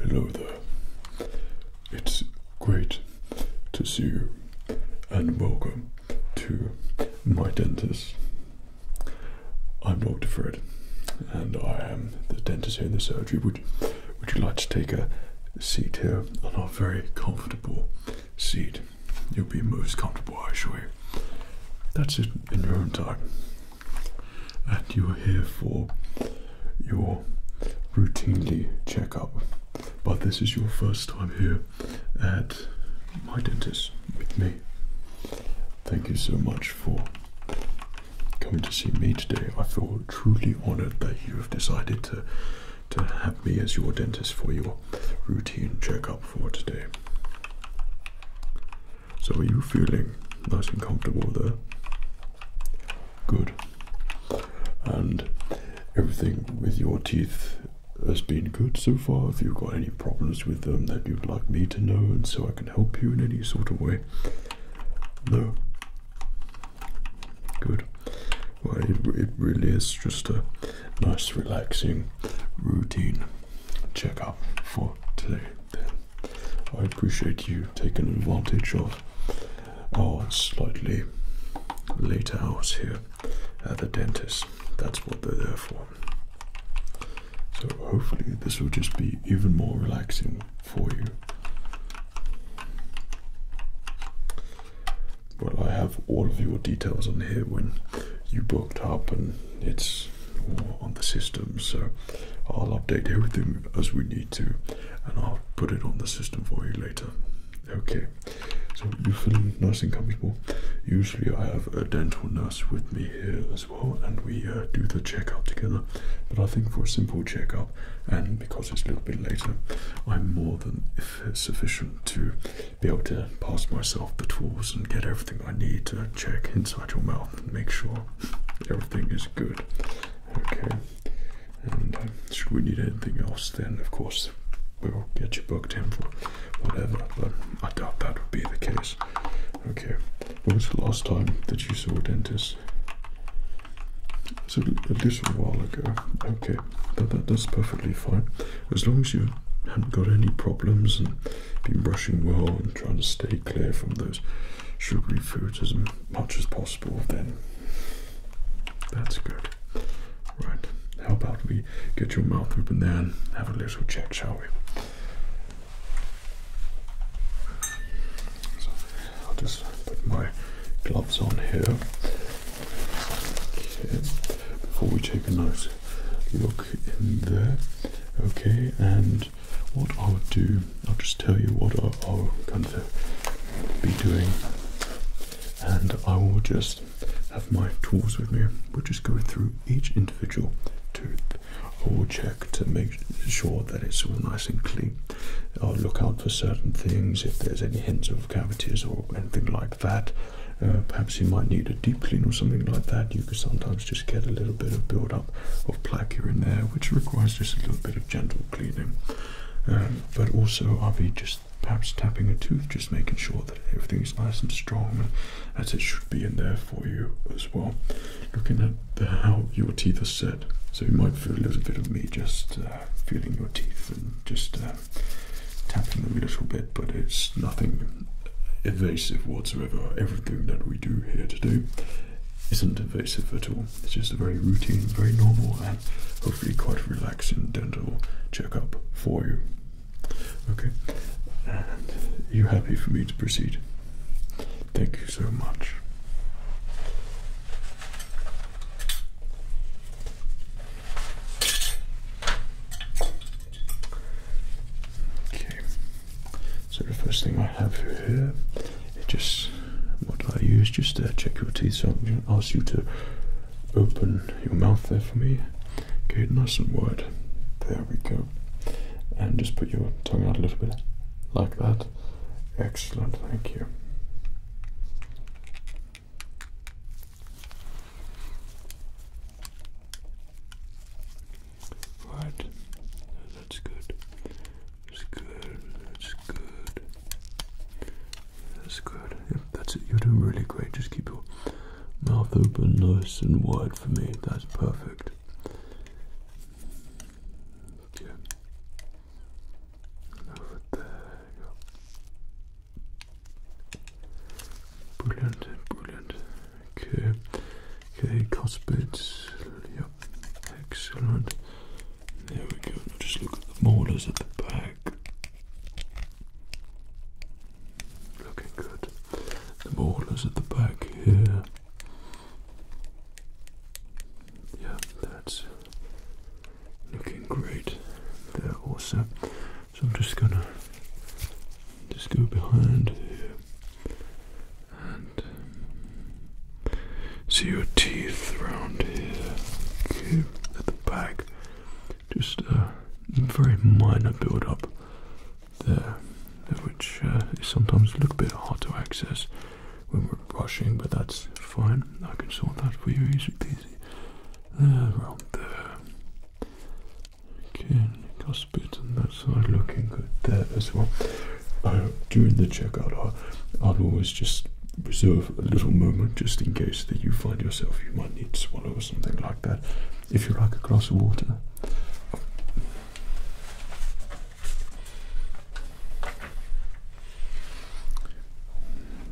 Hello there. It's great to see you and welcome to my dentist. I'm Dr. Fred, and I am the dentist here in the surgery. Would you, would you like to take a seat here on our very comfortable seat? You'll be most comfortable, I assure you. That's it in your own time. And you are here for your routinely checkup. But this is your first time here at my dentist with me. Thank you so much for coming to see me today. I feel truly honored that you have decided to to have me as your dentist for your routine checkup for today. So are you feeling nice and comfortable there? Good. And everything with your teeth has been good so far. If you've got any problems with them that you'd like me to know, and so I can help you in any sort of way. No. Good. Well, it, really is just a nice, relaxing routine checkup for today. I appreciate you taking advantage of our slightly late hours here at the dentist. That's what they're there for. So hopefully this will just be even more relaxing for you. Well, I have all of your details on here when you booked up, and it's on the system. So I'll update everything as we need to, and I'll put it on the system for you later. Okay. So you feel nice and comfortable. Usually I have a dental nurse with me here as well, and we uh, do the checkup together. But I think for a simple checkup, and because it's a little bit later, I'm more than sufficient to be able to pass myself the tools and get everything I need to check inside your mouth and make sure everything is good. Okay. And um, should we need anything else, then of course we will get you booked in for whatever, but I doubt that would be the case. Okay, when was the last time that you saw a dentist? So a little while ago. Okay, that, that, that's perfectly fine. As long as you haven't got any problems and been brushing well and trying to stay clear from those sugary foods as much as possible, then that's good. Right. How about we get your mouth open there and have a little check, shall we? So I'll just put my gloves on here. Okay. Before we take a nice look in there. Okay, and what I'll do, I'll just tell you what I'll, I'll kind of be doing, and I will just have my tools with me. We'll just go through each individual tooth. I will check to make sure that it's all nice and clean. I'll look out for certain things if there's any hints of cavities or anything like that. Uh, perhaps you might need a deep clean or something like that. You can sometimes just get a little bit of build-up of plaque here and there, which requires just a little bit of gentle cleaning. Um, but also, I'll be just perhaps tapping a tooth, just making sure that everything's nice and strong as it should be in there for you as well. Looking at how your teeth are set, so you might feel a little bit of me just uh, feeling your teeth and just uh, tapping them a little bit, but it's nothing evasive whatsoever. Everything that we do here today isn't evasive at all. It's just a very routine, very normal, and hopefully quite relaxing. Accidental and Dental checkup for you. Okay, and you happy for me to proceed? Thank you so much. Okay, so the first thing I have here, it just what I use just to check your teeth. So I'm going to ask you to open your mouth there for me. Okay, nice and wide. There we go. And just put your tongue out a little bit, like that. Excellent, thank you. Right, that's good. That's good. That's good. That's good. that's it. You're doing really great. Just keep your mouth open, nice and wide for me. That's perfect. Okay. Over there. Brilliant, brilliant. Okay. Okay, cuspid. Yep. Excellent. There we go. Now just look at the molars at the back. Looking good. The molars at the back here. Yeah, that's looking great there also. So I'm just gonna just go behind here and um, see your teeth around here. Just a very minor build-up there, which uh, is sometimes a little bit hard to access when we're brushing, but that's fine. I can sort that for you easy peasy. There, around there. Okay, cusp bit on that side looking good there as well. Uh, during the checkout, I, I'd always just reserve a little moment just in case that you find yourself you might need to swallow or something like that. If you like a glass of water.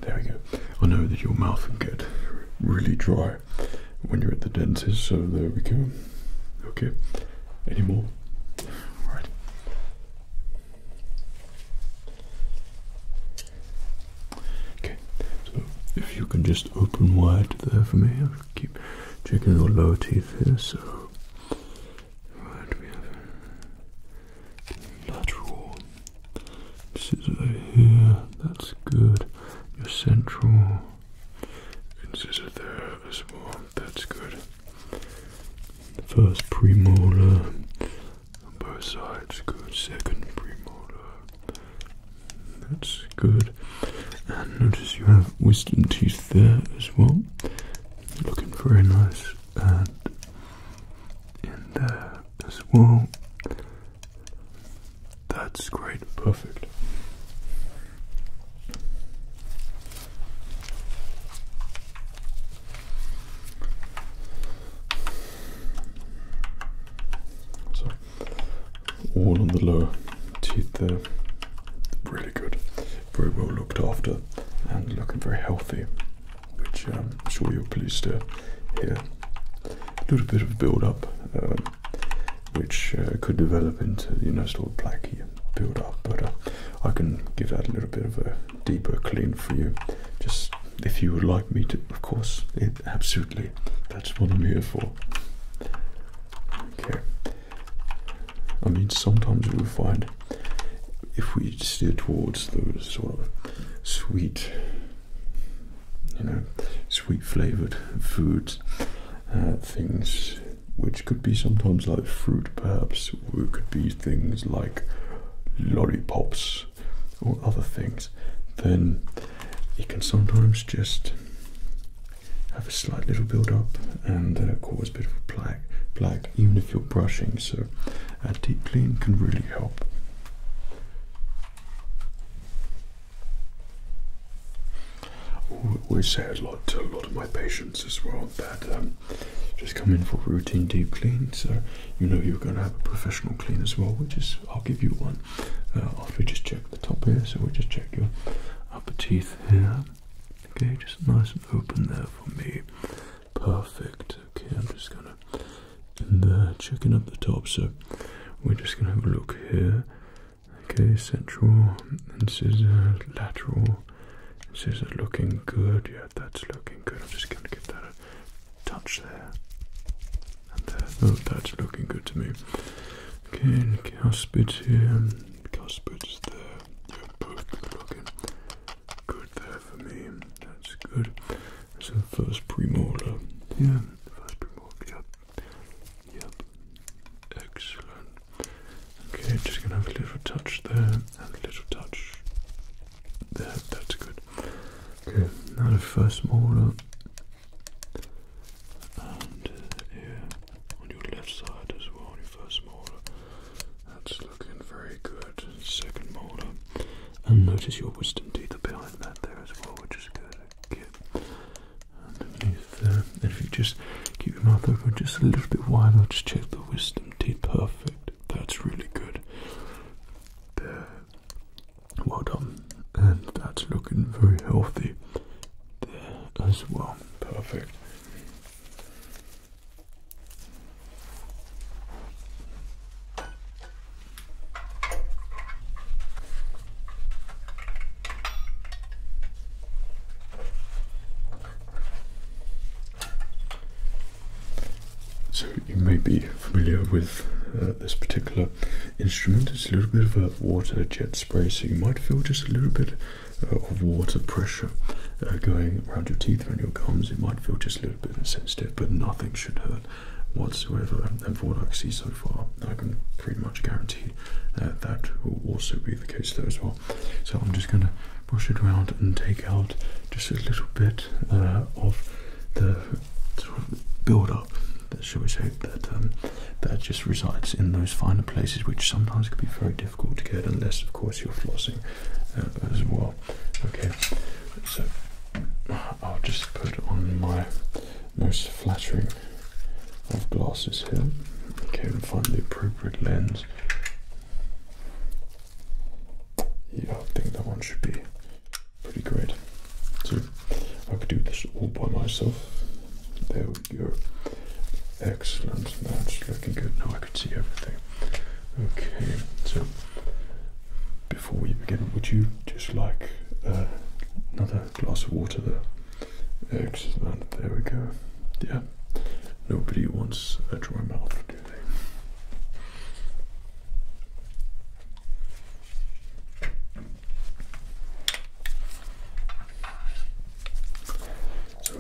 There we go. I know that your mouth can get really dry when you're at the dentist, so there we go. Okay. Any more? All right. Okay, so if you can just open wide there for me, I'll keep checking your lower teeth here. So, right, we have lateral incisor here, that's good. Your central incisor there as well, that's good. The first premolar both sides, good. Second premolar. That's good. And notice you have wisdom teeth there as well. Looking very nice. And in there as well. That's great. Perfect. So all on the lower teeth there, really good, very well looked after, and looking very healthy, which um, I'm sure you're pleased to hear. A little bit of build-up, um, which uh, could develop into you know sort of plaque build-up, but uh, I can give that a little bit of a deeper clean for you. Just if you would like me to, of course, absolutely. That's what I'm here for. Okay. I mean, sometimes we find if we steer towards those sort of sweet, you know, sweet flavored foods, uh, things which could be sometimes like fruit perhaps, or it could be things like lollipops or other things, then it can sometimes just have a slight little build up and cause a bit of a plaque, plaque even if you're brushing. So, a deep clean can really help. We say a lot to a lot of my patients as well that um, just come in for routine deep clean, so you know you're going to have a professional clean as well. Which is, I'll give you one uh, after we just check the top here. So we'll just check your upper teeth here. Okay, just nice and open there for me. Perfect. Okay, I'm just going to in there, checking up the top. So we're just going to have a look here. Okay, central This incisor, lateral, this is looking good. Yeah, that's looking good. I'm just going to give that a touch there. And there. Uh, oh, that's looking good to me. Okay, and cuspids here. Cuspids there. Yeah, both looking good there for me. That's good. So, first premolar. Yeah, first premolar. Yep. Yep. Excellent. Okay, just gonna have a little touch there and a little touch there, that's good. Okay, now the first smaller and uh, yeah, on your left side as well, on your first molar. That's looking very good. Second molar. And notice your wisdom teeth are behind that there as well, which is good. Okay. Underneath there. And if you just keep your mouth open just a little bit wider, just check the wisdom teeth perfect. That's really good. Well done. And that's looking very healthy as well. Perfect. So you may be familiar with uh, this particular instrument. It's a little bit of a water jet spray, so you might feel just a little bit uh, of water pressure uh, going around your teeth and your gums. It might feel just a little bit sensitive, but nothing should hurt whatsoever. And from what I can see so far, I can pretty much guarantee that that will also be the case there as well. So I'm just going to brush it around and take out just a little bit uh, of the sort of build-up, shall we say, that um, that just resides in those finer places, which sometimes can be very difficult to get, unless, of course, you're flossing uh, as well. Okay, so I'll just put on my most flattering of glasses here. Okay, and find the appropriate lens. Yeah, I think that one should be pretty great. So I could do this all by myself. There we go. Excellent. match, looking good. Now I can see everything. Okay, so before we begin, would you just like uh, another glass of water there? Excellent. There we go. Yeah. Nobody wants a dry mouth, do they? So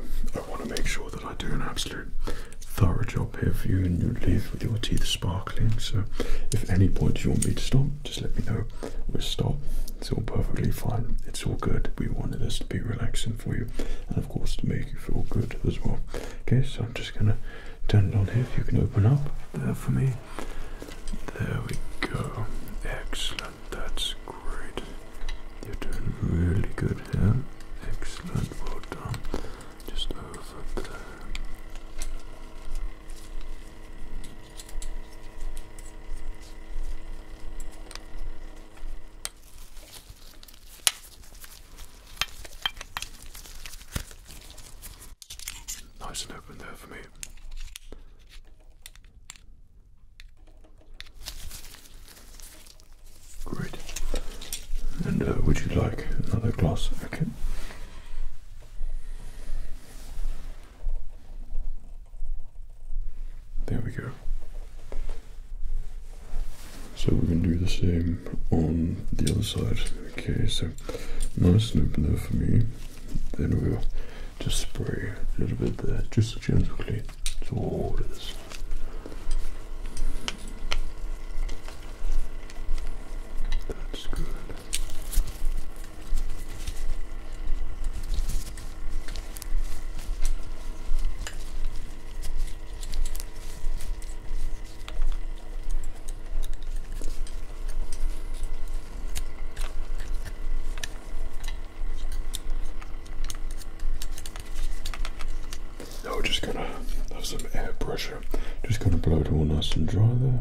I want to make sure that I do an absolute thorough job here for you and you leave with your teeth sparkling. So if at any point you want me to stop, just let me know. We'll stop. It's all perfectly fine. It's all good. We wanted this to be relaxing for you and of course to make you feel good as well. Okay, so I'm just gonna turn it on here if you can open up there for me. There we go. Excellent, that's great. You're doing really good here. Excellent, well done. Just over there. Nice and open there for me. Great. And uh, would you like another glass? Okay. There we go. So we're going to do the same on the other side. Okay, so nice and open there for me. Then we'll just spray a little bit there, just gently toward this. That's good. Now we're just gonna have some air pressure. Just gonna blow it all nice and dry there.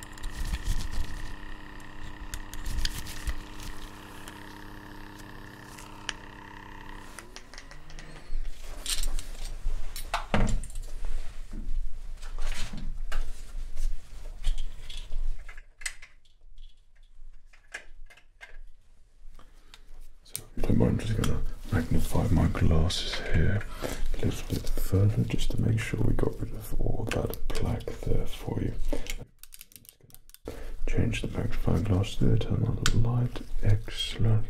So I'm just going to magnify my glasses here a little bit further just to make sure we got rid of all that plaque there for you. Change the magnifying glass there, turn on the light. Excellent.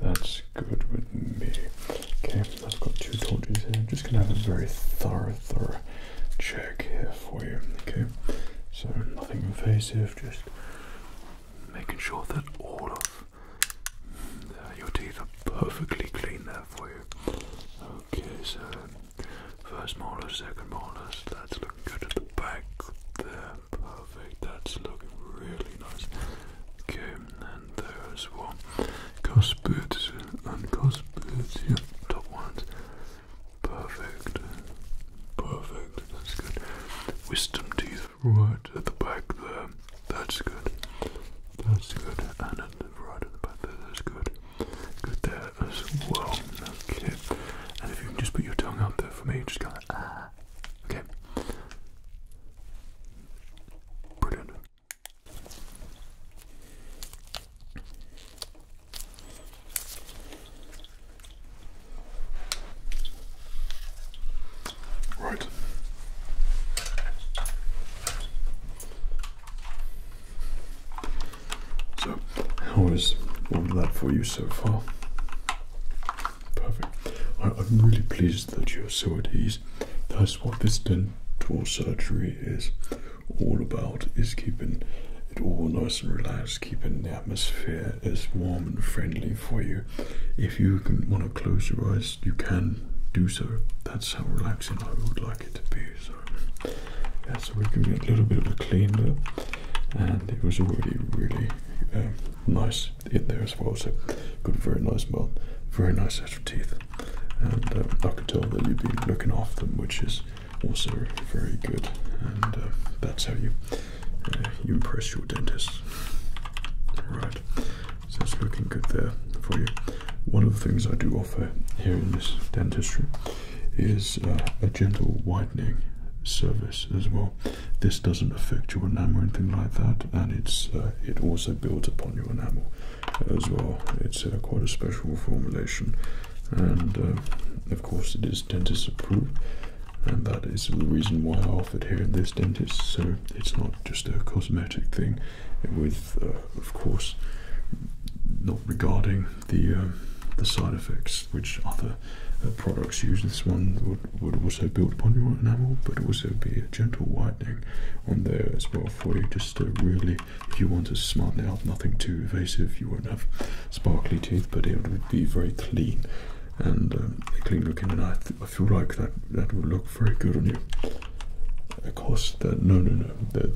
That's good with me. Okay, I've got two torches here. I'm just gonna have a very thorough, thorough check here for you. Okay, so nothing invasive, just making sure that all of uh, your teeth are perfectly clean there for you. Okay, so um, first molars, second molars, that's looking good at the back there. Perfect, that's looking really nice. Okay, and there's one. well. Cuspids and cuspids, yeah, top ones. Perfect, perfect, that's good. Wisdom teeth right at the back there, that's good. That's good, and right at the back there, that's good. Good there as well. Okay. And if you can just put your tongue out there for me, just kind of ah. Okay. Brilliant. Right. So, how is all of that for you so far? Perfect. I, I'm really pleased that you're so at ease. That's what this dental surgery is all about, is keeping it all nice and relaxed, keeping the atmosphere as warm and friendly for you. If you can want to close your eyes you can do so. That's how relaxing I would like it to be. So, yeah, so we can get a little bit of a clean there, and it was already really um, nice in there as well. So, got very nice mouth, very nice set of teeth, and um, I could tell that you've been looking after them, which is also very good. And uh, that's how you uh, you impress your dentist. Right. So it's looking good there for you. One of the things I do offer here in this dentistry is uh, a gentle whitening service as well. This doesn't affect your enamel or anything like that, and it's uh, it also builds upon your enamel as well. It's quite a special formulation, and uh, of course it is dentist approved, and that is the reason why I offer it here in this dentist. So it's not just a cosmetic thing with, uh, of course, not regarding the um, the side effects which other uh, products use. This one would, would also build upon your enamel, but also be a gentle whitening on there as well for you. Just to really, if you want a smart it nothing too evasive. You won't have sparkly teeth, but it would be very clean and um, clean looking. And I, I feel like that that will look very good on you. Of course, no, no, no.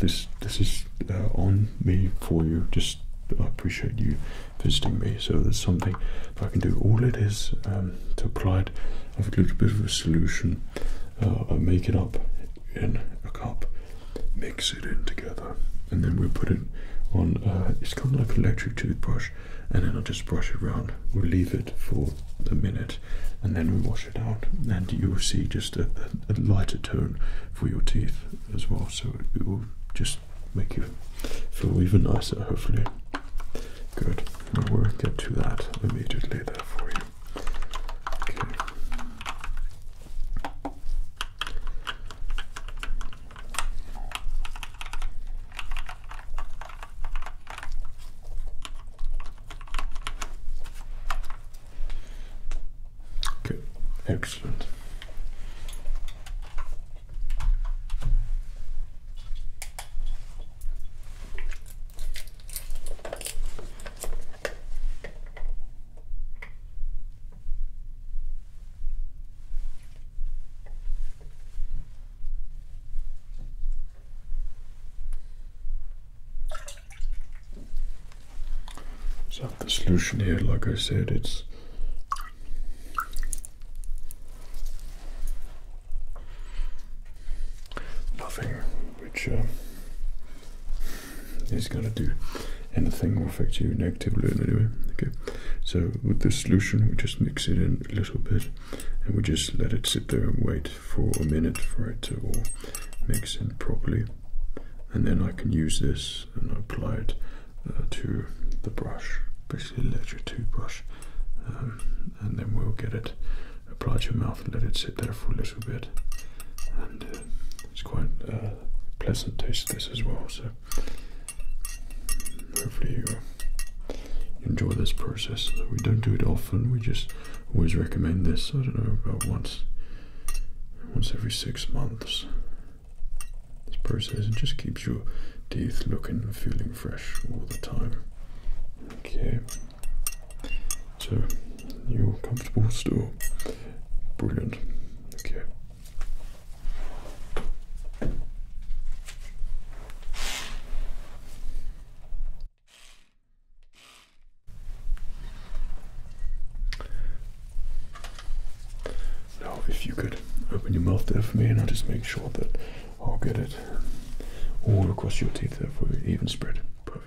this this is uh, on me for you. Just appreciate you visiting me. So there's something I can do. All it is um, to apply it. I've a little bit of a solution. I uh, make it up in a cup, mix it in together, and then we put it on. Uh, it's kind of like an electric toothbrush, and then I just brush it around. We'll leave it for a minute, and then we wash it out and you will see just a, lighter tone for your teeth as well so it will just make you feel even nicer hopefully good we'll get to that immediately there for you okay Okay, excellent. So the solution here, like I said, it's nothing which uh, is going to do anything or affect you negatively anyway. Okay, so with this solution, we just mix it in a little bit and we just let it sit there and wait for a minute for it to mix in properly and then I can use this and apply it uh, to the brush basically let your toothbrush um, and then we'll get it applied to your mouth and let it sit there for a little bit and uh, it's quite uh, pleasant taste this as well so hopefully you enjoy this process. We don't do it often, we just always recommend this, I don't know, about once once every six months. This process just keeps your teeth looking and feeling fresh all the time. Okay. So you're comfortable still. Brilliant. Okay. Now, if you could open your mouth there for me, and I'll just make sure that I'll get it all across your teeth there for you, even spread. Perfect.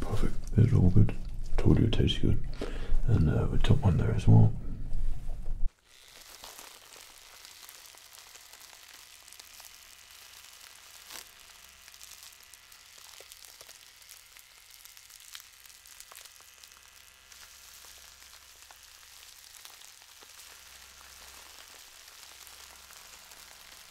Perfect. It's all good. Told you it tastes good. And uh, we took one there as well.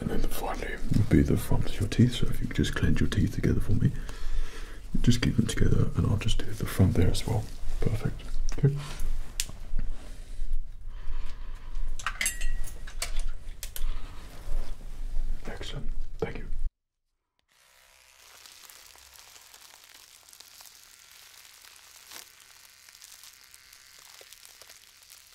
And then finally would be the front of your teeth. So if you could just cleanse your teeth together for me. Just keep them together and I'll just do the front there as well. Perfect. Okay. Excellent. Thank you.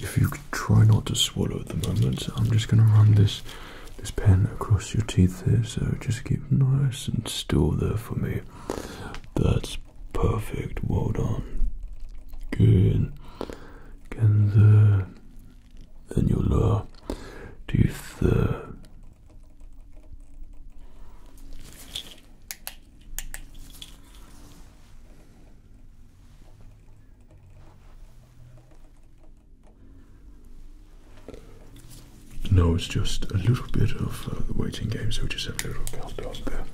if you try not to swallow at the moment, I'm just going to run this this pen across your teeth here, so just keep nice and still there for me. That's perfect. Well done. Good. Again there. Then your lower teeth no, it's just a little bit of uh, the waiting game, so we just have a little glass beer.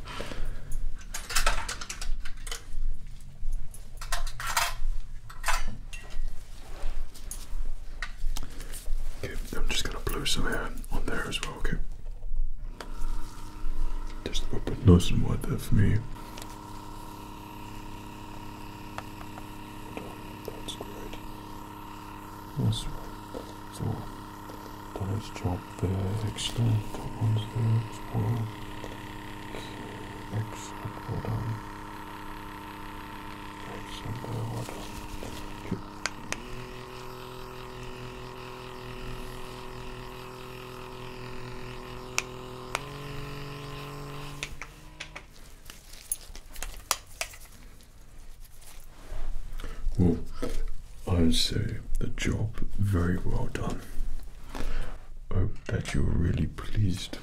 Okay, I'm just going to blow some air on there as well. Okay. Just open nose and water for me. That's great. That's right. So, nice job there. Excellent. That one's there as well. Okay. Excellent. Well done. Excellent. Well done. Well, I would say the job very well done. hope that you're really pleased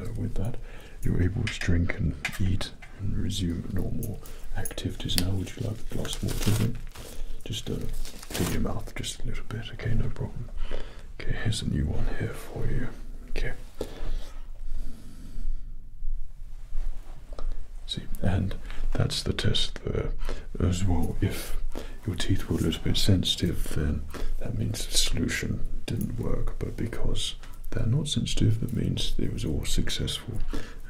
uh, with that. You're able to drink and eat and resume normal activities. Now, would you like a glass of water? Again? Just uh, clean your mouth just a little bit. Okay, no problem. Okay, here's a new one here for you. Okay. See, and that's the test there as well. If your teeth were a little bit sensitive, then that means the solution didn't work. But because they're not sensitive, that means it was all successful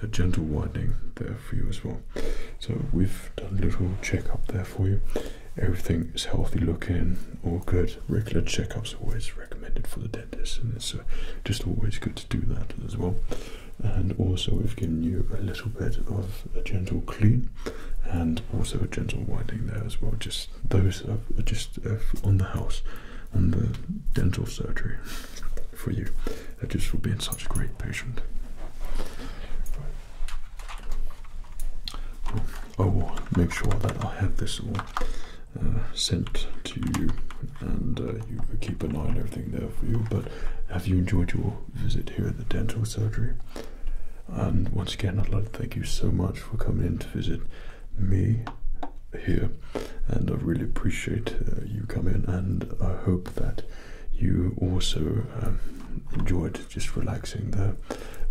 a gentle widening there for you as well. So we've done a little check up there for you. Everything is healthy looking, all good. Regular check ups are always recommended for the dentist, and it's uh, just always good to do that as well. And also, we've given you a little bit of a gentle clean, and also a gentle widening there as well. Just those are just uh, on the house on the dental surgery for you. I just for being such a great patient. I will make sure that I have this all uh, sent to you, and uh, you keep an eye on everything there for you. But have you enjoyed your visit here at the dental surgery? And once again, I'd like to thank you so much for coming in to visit me here, and I really appreciate uh, you coming. And I hope that you also um, enjoyed just relaxing there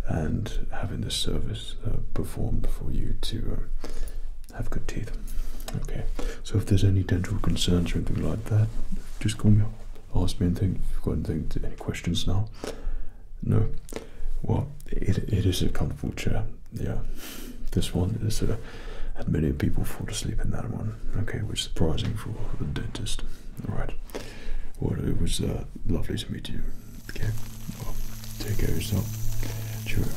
and having the service uh, performed for you to uh, have good teeth. Okay, so if there's any dental concerns or anything like that, just call me up. Ask me anything. If you've got anything, any questions now? No. Well, it, it is a comfortable chair. Yeah, this one is a and many people fall asleep in that one. Okay, which is surprising for a dentist. All right. Well, it was uh, lovely to meet you. Okay. take care of yourself. Cheerio.